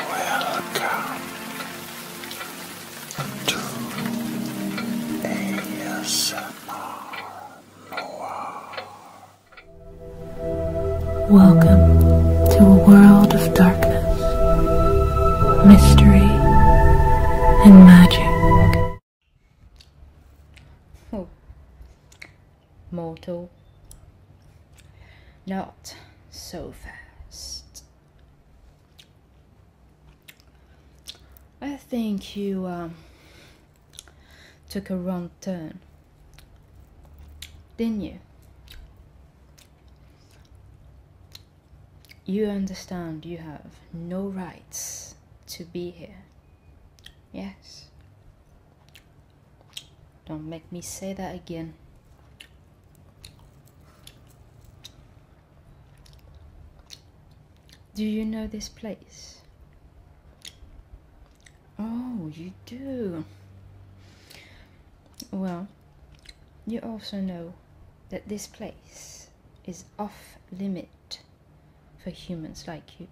Welcome to ASMR Welcome to a world of darkness, mystery, and magic. Oh mortal. Not so fast. I think you um, took a wrong turn, didn't you? You understand you have no rights to be here. Yes. Don't make me say that again. Do you know this place? Oh, you do. Well, you also know that this place is off limit for humans like you.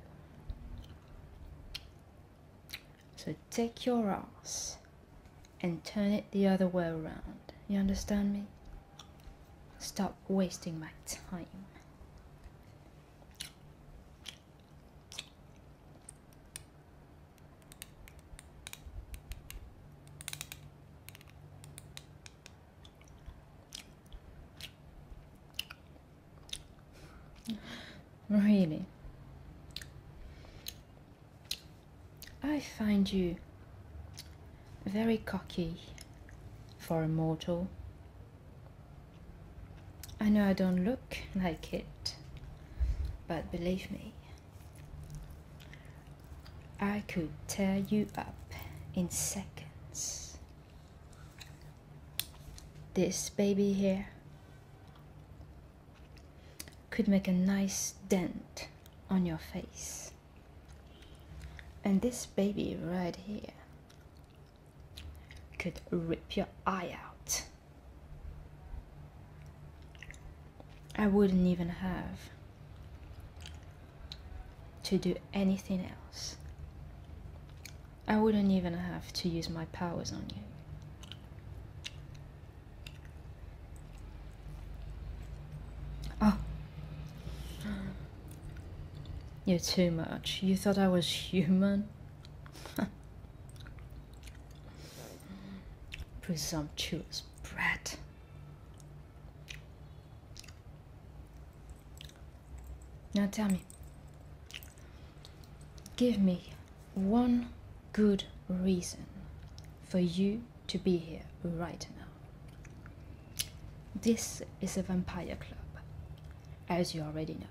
So take your ass and turn it the other way around. You understand me? Stop wasting my time. Really? I find you very cocky for a mortal. I know I don't look like it, but believe me, I could tear you up in seconds this baby here could make a nice dent on your face. And this baby right here could rip your eye out. I wouldn't even have to do anything else I wouldn't even have to use my powers on you. Oh. You're too much. You thought I was human? Presumptuous brat. Now tell me, Give me one good reason for you to be here right now. This is a vampire club, as you already know.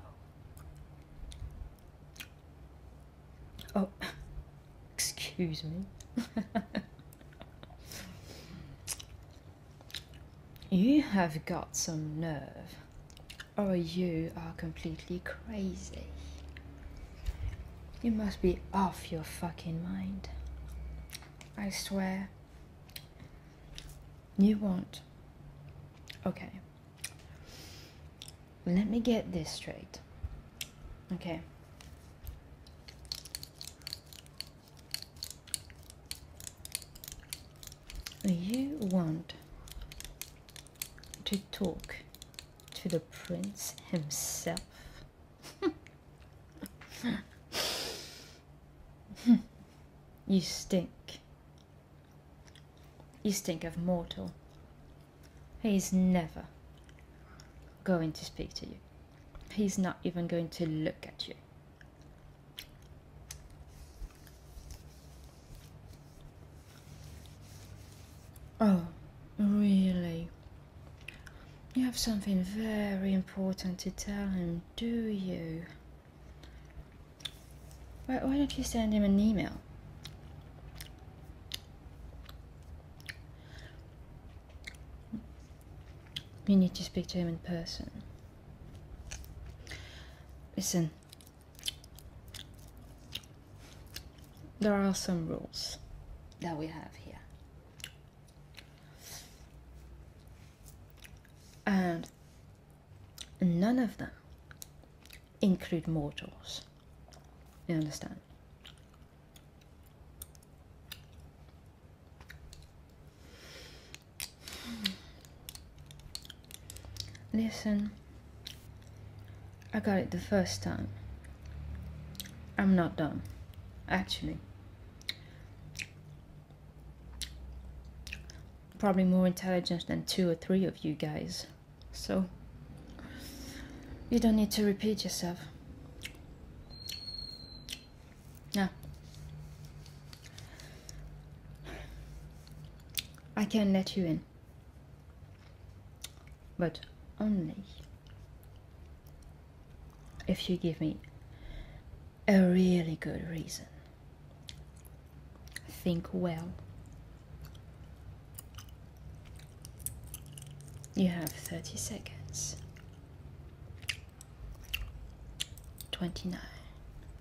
Oh, excuse me. you have got some nerve Oh, you are completely crazy. You must be off your fucking mind. I swear. You won't. Okay. Let me get this straight. Okay you want to talk to the prince himself you stink you stink of mortal he's never going to speak to you he's not even going to look at you Oh, really? You have something very important to tell him, do you? Why, why don't you send him an email? You need to speak to him in person. Listen, there are some rules that we have here. And none of them include mortals. You understand? Listen, I got it the first time. I'm not done, actually. Probably more intelligent than two or three of you guys. So, you don't need to repeat yourself. Now, I can let you in, but only if you give me a really good reason. Think well. You have 30 seconds. 29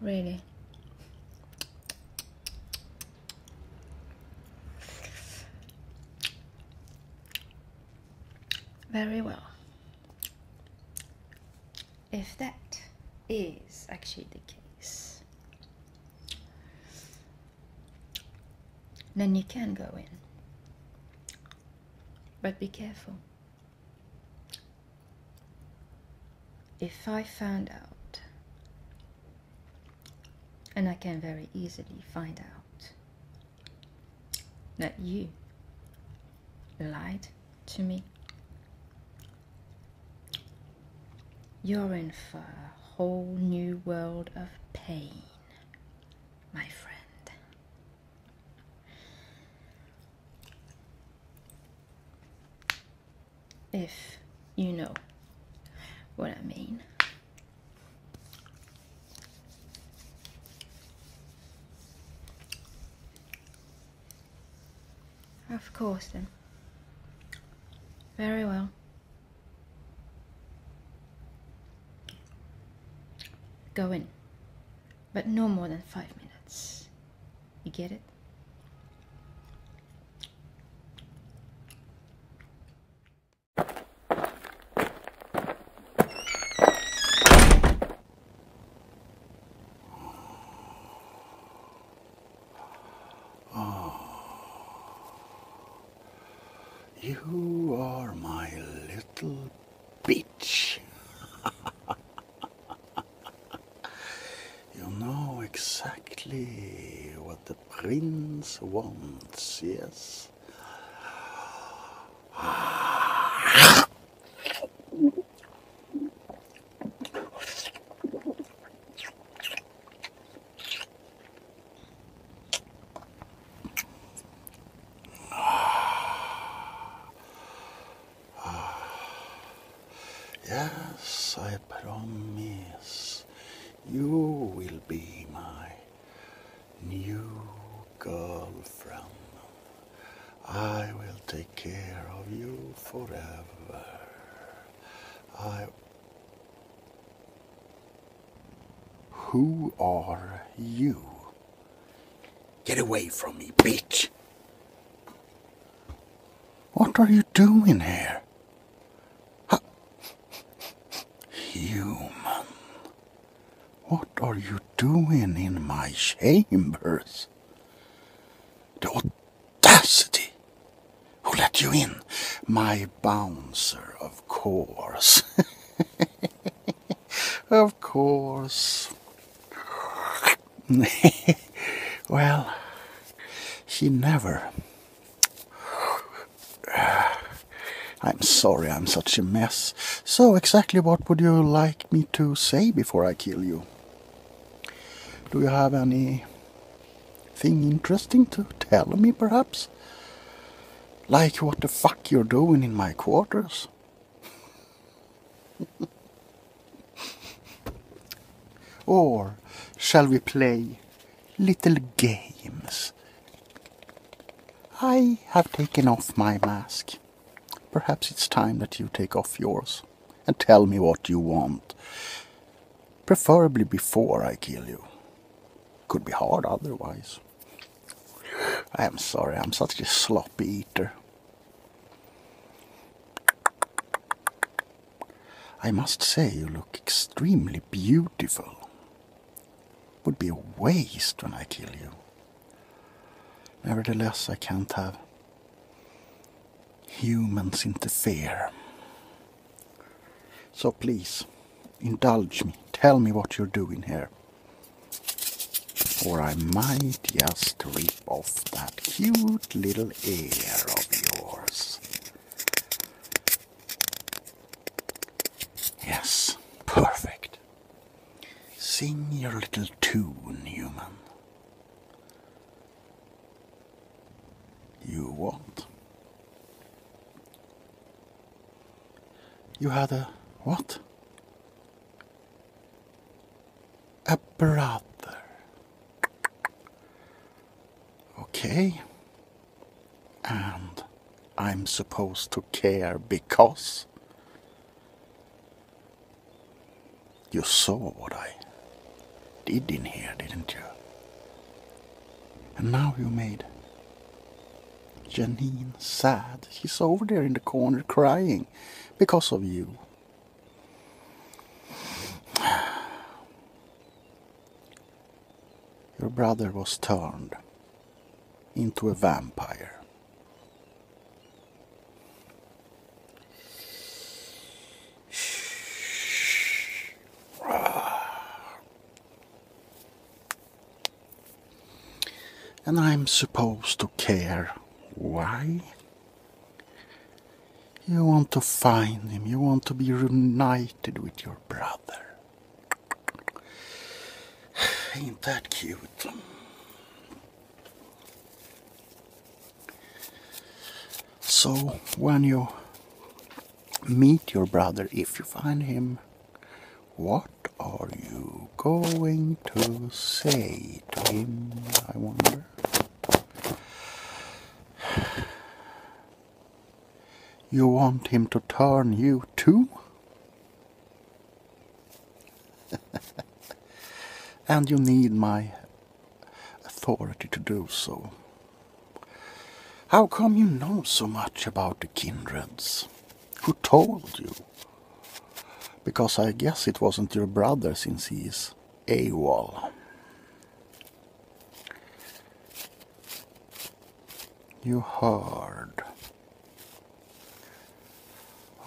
Really. Very well. If that is actually the case, then you can go in. But be careful. If I find out, and I can very easily find out, that you lied to me, you're in for a whole new world of pain, my friend. If you know what I mean. Of course then. Very well. Go in, but no more than five minutes. You get it? Oh. You are my little bitch. you know exactly what the prince wants, yes? Yes, I promise you will be my new girlfriend. I will take care of you forever. I who are you? Get away from me, bitch! What are you doing here? Human. What are you doing in my chambers? The audacity! Who let you in? My bouncer, of course. of course. well, she never. I'm sorry I'm such a mess. So, exactly what would you like me to say before I kill you? Do you have any thing interesting to tell me, perhaps? Like what the fuck you're doing in my quarters? or shall we play little games? I have taken off my mask. Perhaps it's time that you take off yours and tell me what you want. Preferably before I kill you. Could be hard otherwise. I'm sorry, I'm such a sloppy eater. I must say, you look extremely beautiful. Would be a waste when I kill you. Nevertheless, I can't have humans interfere. So please. Indulge me. Tell me what you're doing here. Or I might just rip off that cute little ear of yours. Yes, perfect. Sing your little tune, human. You want? You had a what? A brother. Okay. And I'm supposed to care because you saw what I did in here, didn't you? And now you made Janine sad. She's over there in the corner crying because of you. Your brother was turned into a vampire. And I'm supposed to care. Why? You want to find him, you want to be reunited with your brother. Ain't that cute? So, when you Meet your brother if you find him. What are you going to say to him, I wonder? You want him to turn you too? and you need my authority to do so. How come you know so much about the kindreds? Who told you? Because I guess it wasn't your brother since he's is AWOL. You heard.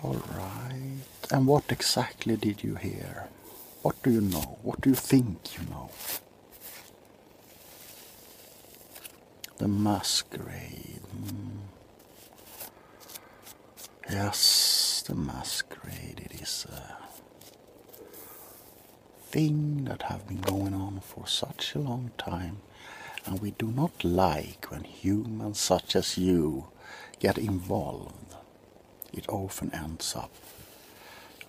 Alright. And what exactly did you hear? What do you know? What do you think you know? The masquerade. Hmm. Yes, the masquerade. It is a thing that have been going on for such a long time, and we do not like when humans such as you get involved. It often ends up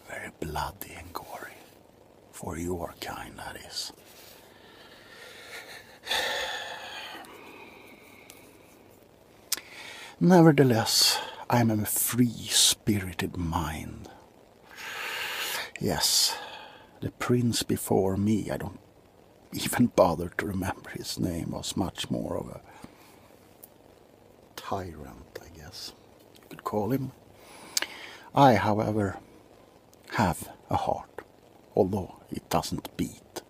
very bloody and gory. For your kind, that is. Nevertheless, I am a free spirited mind. Yes, the prince before me, I don't even bother to remember his name, was much more of a tyrant, I guess you could call him. I, however, have a heart, although it doesn't beat,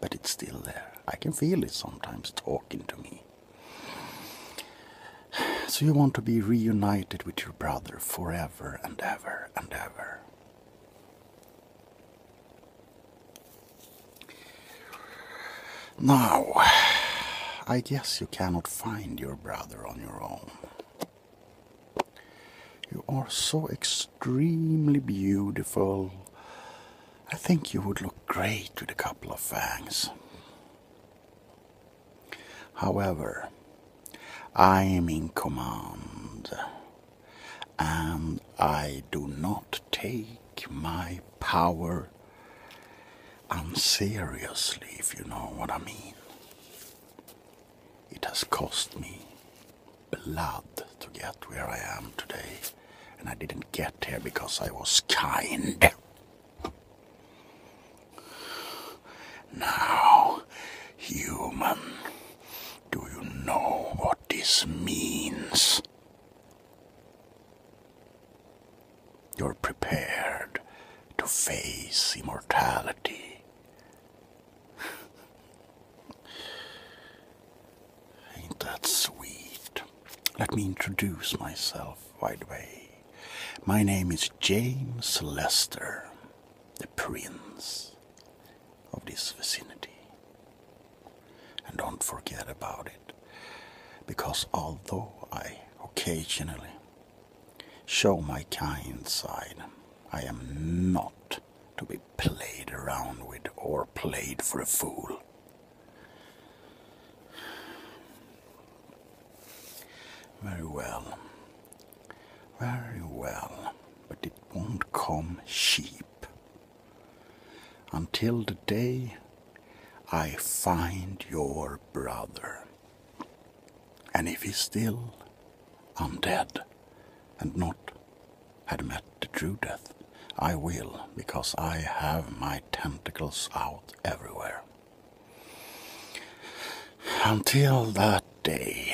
but it's still there. I can feel it sometimes talking to me. So you want to be reunited with your brother forever and ever and ever. Now, I guess you cannot find your brother on your own. You are so extremely beautiful. I think you would look great with a couple of fangs. However, I am in command and I do not take my power unseriously, if you know what I mean. It has cost me blood to get where I am today, and I didn't get here because I was kind. Now, human, do you know what this means? You're prepared to face immortality. Ain't that sweet? Let me introduce myself, by the way. My name is James Lester, the Prince of this vicinity. And don't forget about it, because although I occasionally Show my kind side. I am not to be played around with or played for a fool. Very well. Very well. But it won't come cheap. Until the day I find your brother. And if he still am dead, and not had met the true death, I will, because I have my tentacles out everywhere. Until that day,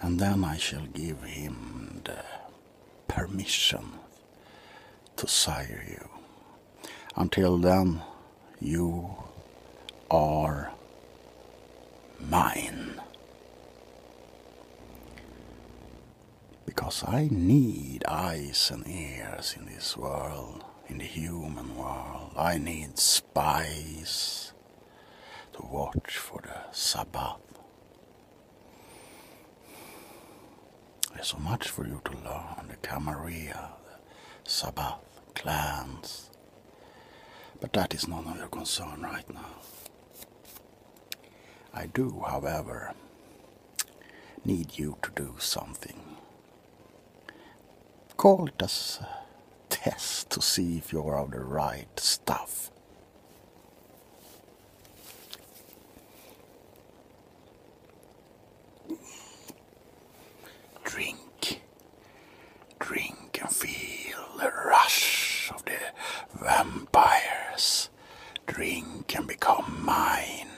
and then I shall give him the permission to sire you until then, you are mine. Because I need eyes and ears in this world, in the human world. I need spies to watch for the Sabbath. There's so much for you to learn the Camarilla, the Sabbath clans. But that is none of your concern right now. I do, however, need you to do something. Call it a uh, test to see if you're of the right stuff. Drink, drink and feel the rush of the vampires. Drink and become mine,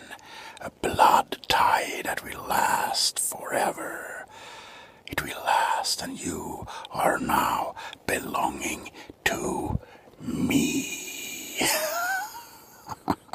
a blood tie that will last forever. It will last, and you are now belonging to me.